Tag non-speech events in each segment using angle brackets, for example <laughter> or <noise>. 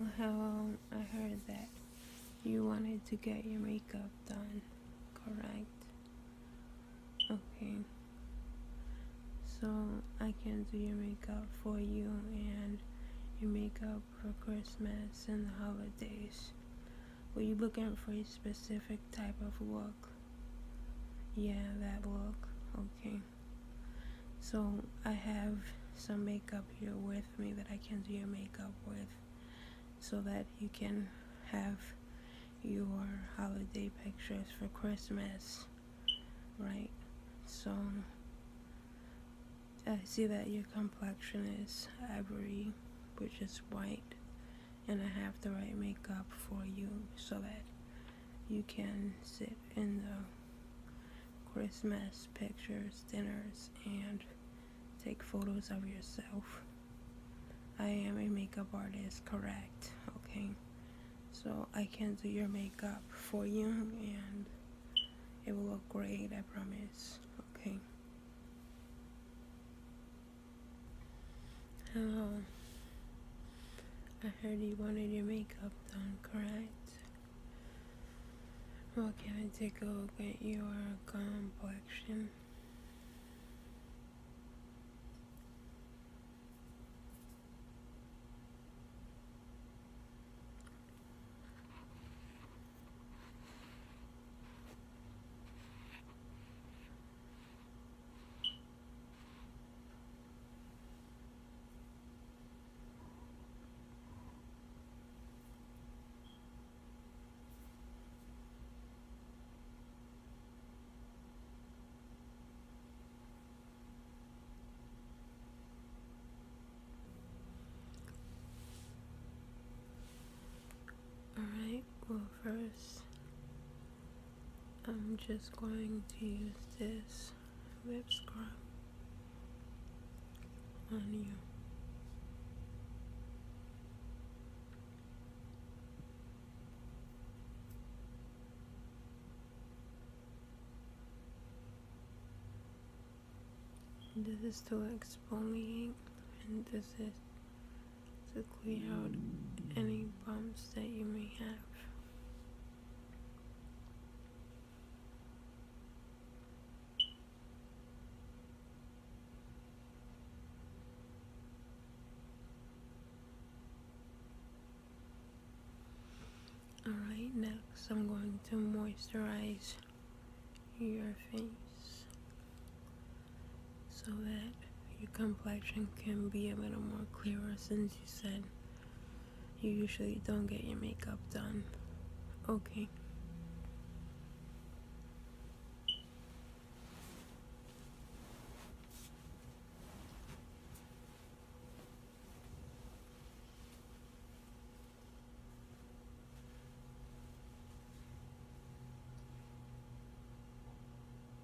Well, I heard that you wanted to get your makeup done, correct? Okay. So I can do your makeup for you and your makeup for Christmas and the holidays. Were you looking for a specific type of look? Yeah, that look. Okay so I have some makeup here with me that I can do your makeup with so that you can have your holiday pictures for Christmas right so I see that your complexion is ivory which is white and I have the right makeup for you so that you can sit in the Christmas pictures, dinners, and take photos of yourself. I am a makeup artist, correct, okay? So I can do your makeup for you and it will look great, I promise, okay? Hello. I heard you wanted your makeup done, correct? Well, can I take a look at your complexion? Alright, well, first, I'm just going to use this lip scrub on you. This is to exfoliate and this is to clear out any bumps that you may have. Alright, next I'm going to moisturize your face so that your complexion can be a little more clearer since you said you usually don't get your makeup done. Okay.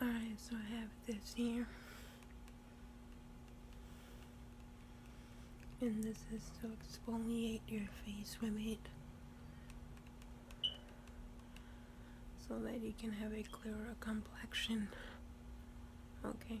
Alright, so I have this here. And this is to exfoliate your face with it. So that you can have a clearer complexion. Okay.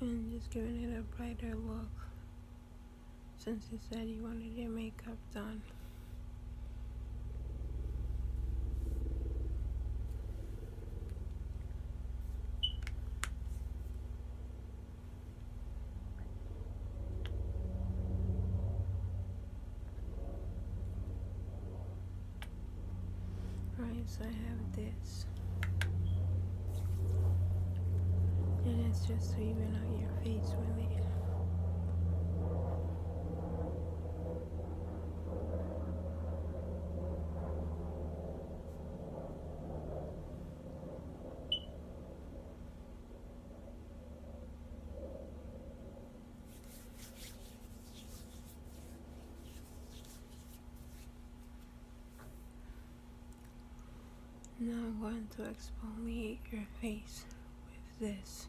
and just giving it a brighter look since he said he wanted your makeup done. Right, so I have this. And it's just to even out your face really. Now I'm going to exfoliate your face with this.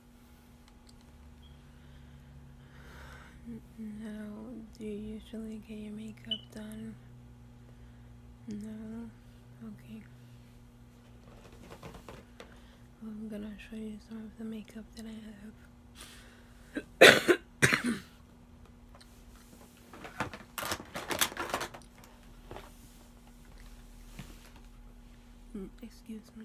Now, do you usually get your makeup done? No? Okay. I'm gonna show you some of the makeup that I have. <coughs> Mm, excuse me.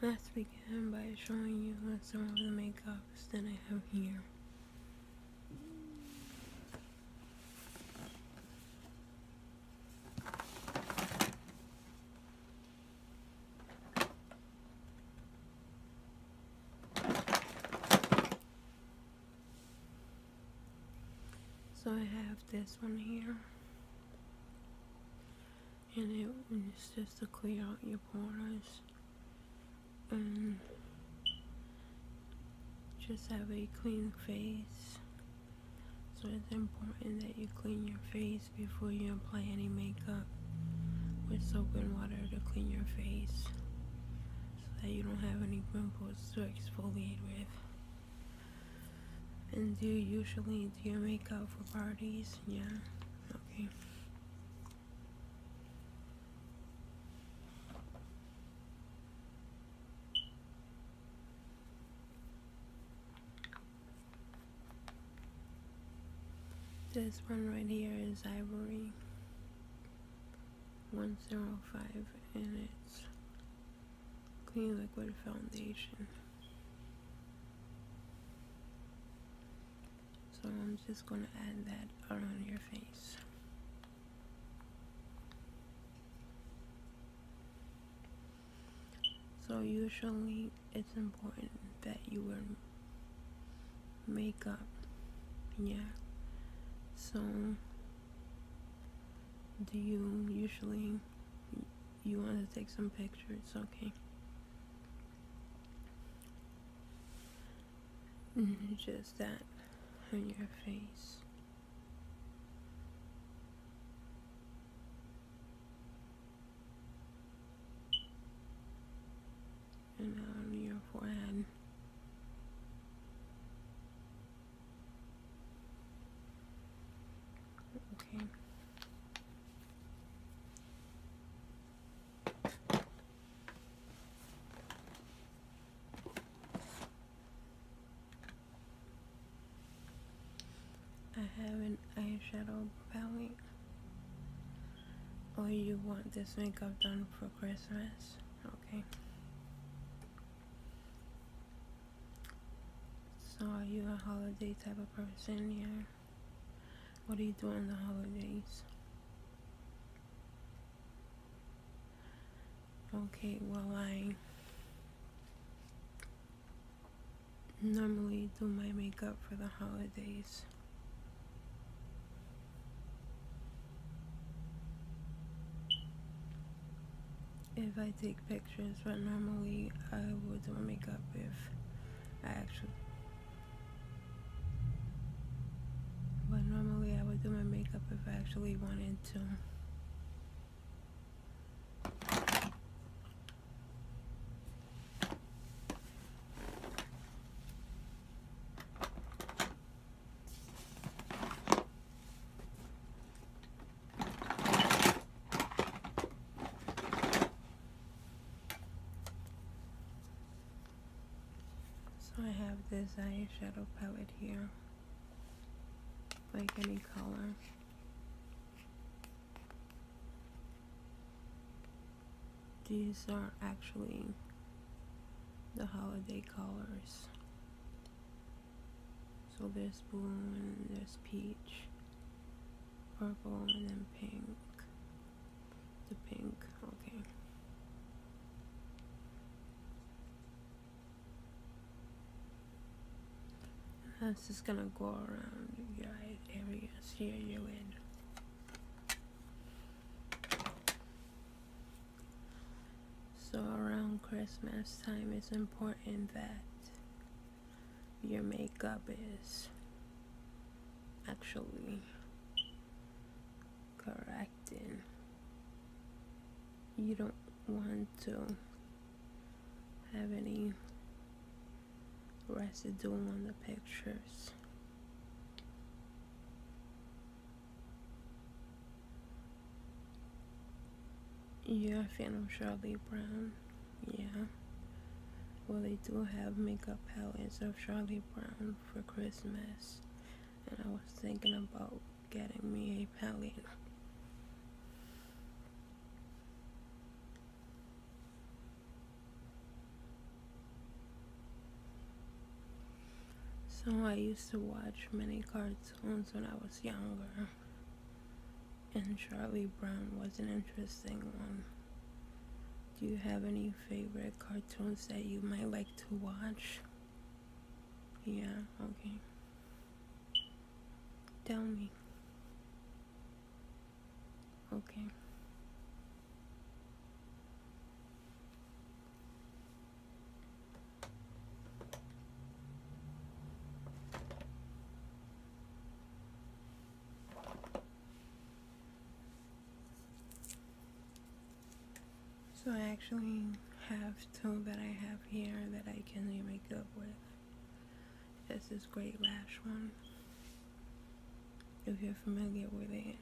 Let's begin by showing you some of the makeups that I have here. So I have this one here. And it's just to clear out your pores. And um, just have a clean face. So it's important that you clean your face before you apply any makeup with soap and water to clean your face so that you don't have any pimples to exfoliate with. And do you usually do your makeup for parties? Yeah. Okay. This one right here is Ivory 105 and it's clean liquid foundation. So I'm just going to add that around your face. So usually it's important that you wear makeup. Yeah. So, do you usually you want to take some pictures? Okay. Just that on your face and on your forehead. Okay. I have an eyeshadow palette. Oh, you want this makeup done for Christmas? Okay. So are you a holiday type of person? Yeah. What are you doing on the holidays? Okay, well I normally do my makeup for the holidays. If I take pictures, but normally I will do makeup if I actually. But normally I would do my makeup if I actually wanted to. So I have this eyeshadow palette here, like any color these are actually the holiday colors so there's blue and there's peach purple and then pink the pink okay this is gonna go around you guys areas here you in. So around Christmas time, it's important that your makeup is actually correcting. You don't want to have any is doing on the pictures. Yeah, I think fan of Charlie Brown? Yeah. Well, they do have makeup palettes of Charlie Brown for Christmas. And I was thinking about getting me a palette. So I used to watch many cartoons when I was younger. And Charlie Brown was an interesting one. Do you have any favorite cartoons that you might like to watch? Yeah, okay. Tell me. Okay. So I actually have two that I have here that I can make up with. That's this Great Lash one. If you're familiar with it.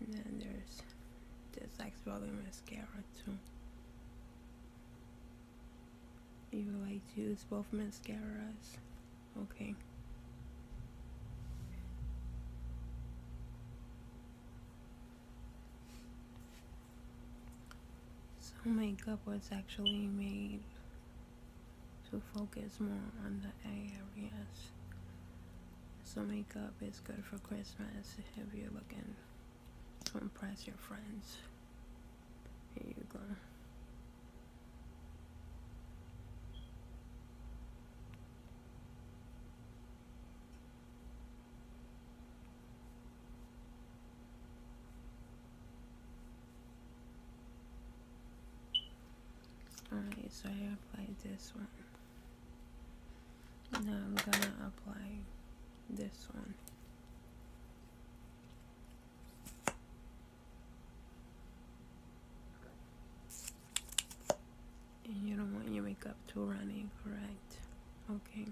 And then there's this like volume mascara too. You like to use both mascaras? Okay. So makeup was actually made to focus more on the areas. So makeup is good for Christmas if you're looking to impress your friends. Here you go. Alright, so I apply this one. Now I'm gonna apply this one. you don't want your makeup too runny, correct? Okay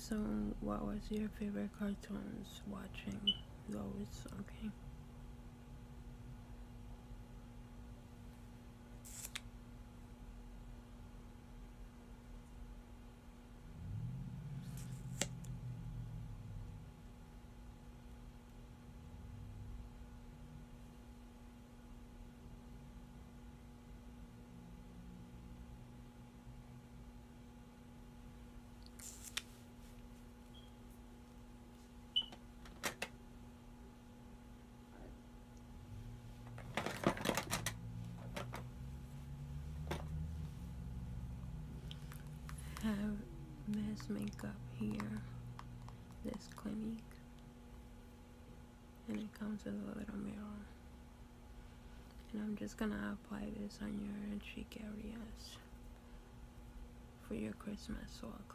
so, what was your favorite cartoons watching Always Okay have mass makeup here this clinic and it comes with a little mirror and I'm just gonna apply this on your cheek areas for your Christmas walk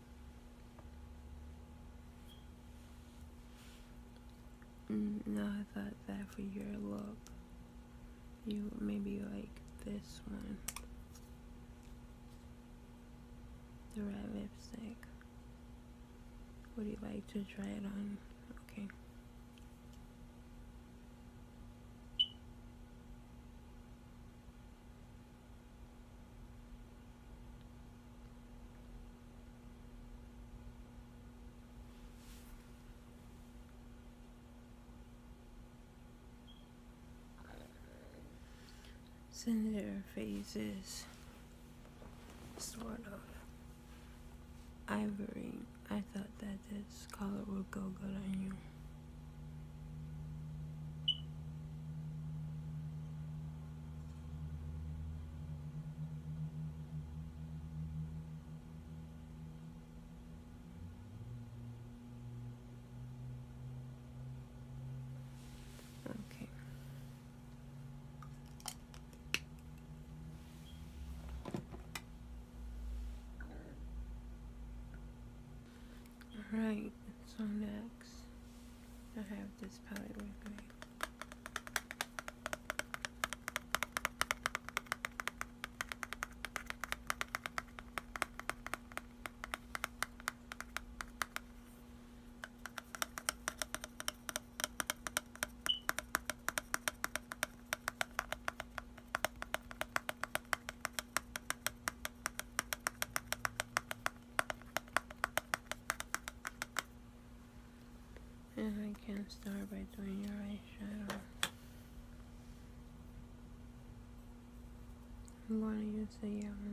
Mm, no, I thought that for your look, you maybe like this one. The red lipstick. Would you like to try it on? Okay. Senator phases, sort of ivory. I thought that this color would go good on you. Okay. All right, so next I have this palette with me. And I can start by doing your eyeshadow. I'm going to use the yellow.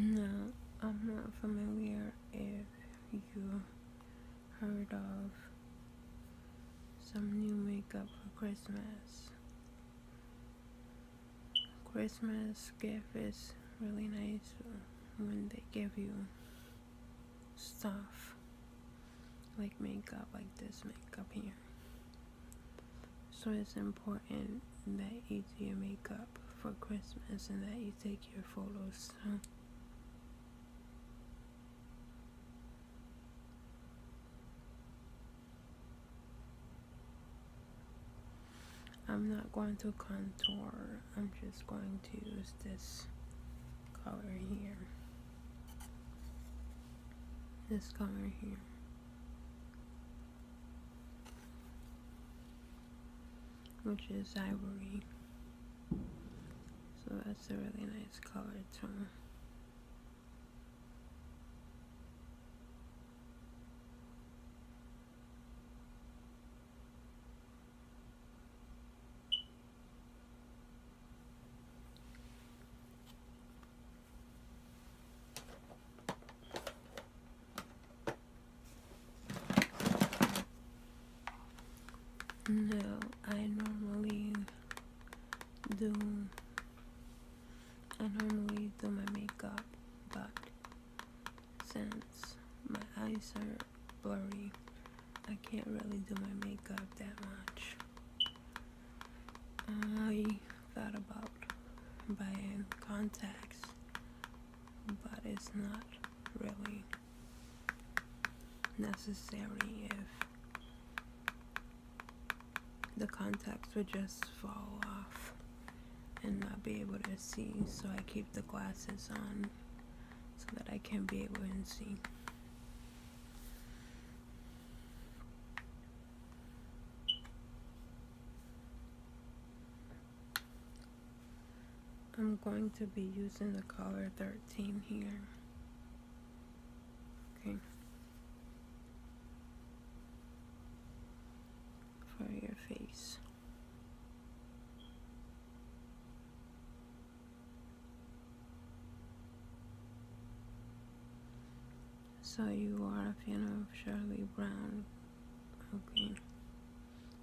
No, I'm not familiar if you heard of some new makeup for Christmas. Christmas gift is really nice when they give you stuff like makeup, like this makeup here. So it's important that you do your makeup for Christmas and that you take your photos. I'm not going to contour, I'm just going to use this color here. This color here. Which is ivory. So that's a really nice color tone. No, I normally do I normally do my makeup, but since my eyes are blurry, I can't really do my makeup that much. I thought about buying contacts, but it's not really necessary if the contacts would just fall off and not be able to see so I keep the glasses on so that I can be able to see. I'm going to be using the color 13 here. Okay for your face. So you are a fan of Shirley Brown. Okay.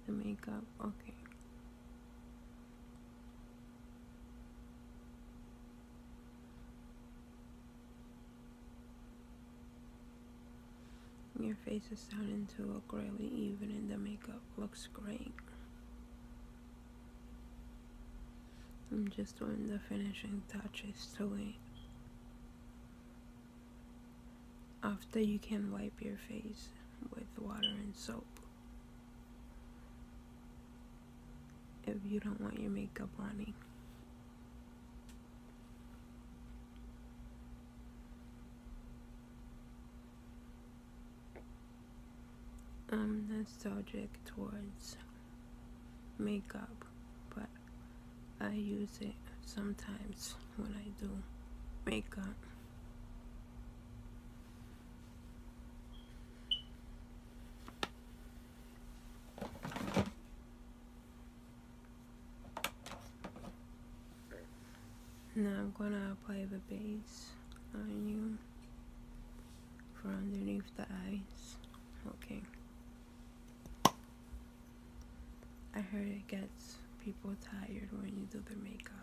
The makeup. Okay. Your face is starting to look really even and the makeup looks great. I'm just doing the finishing touches to it. After you can wipe your face with water and soap if you don't want your makeup running. I'm nostalgic towards makeup, but I use it sometimes when I do makeup. Now I'm gonna apply the base on you for underneath the eyes. Okay. I heard it gets people tired when you do their makeup.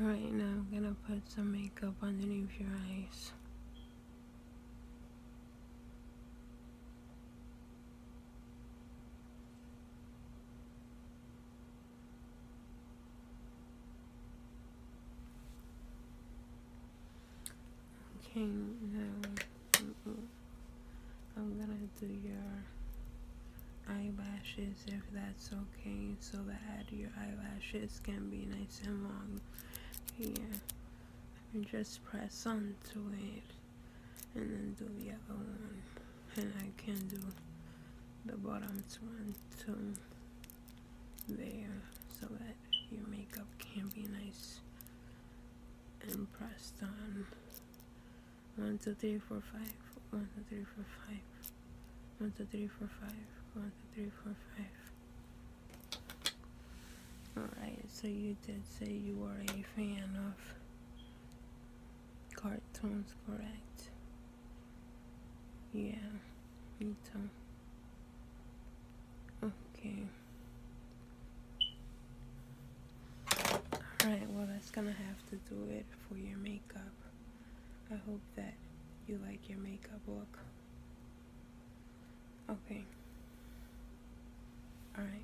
Alright, now I'm gonna put some makeup underneath your eyes. Okay, now I'm gonna do your eyelashes if that's okay, so that your eyelashes can be nice and long. Yeah, just press onto it and then do the other one. And I can do the bottom one too there so that your makeup can be nice and pressed on. One, two, three, four, five. One, two, three, four, five. One, two, three, four, five. One, two, three, four, five. Alright, so you did say you are a fan of cartoons, correct? Yeah, me too. Okay. Alright, well that's gonna have to do it for your makeup. I hope that you like your makeup look. Okay. Alright.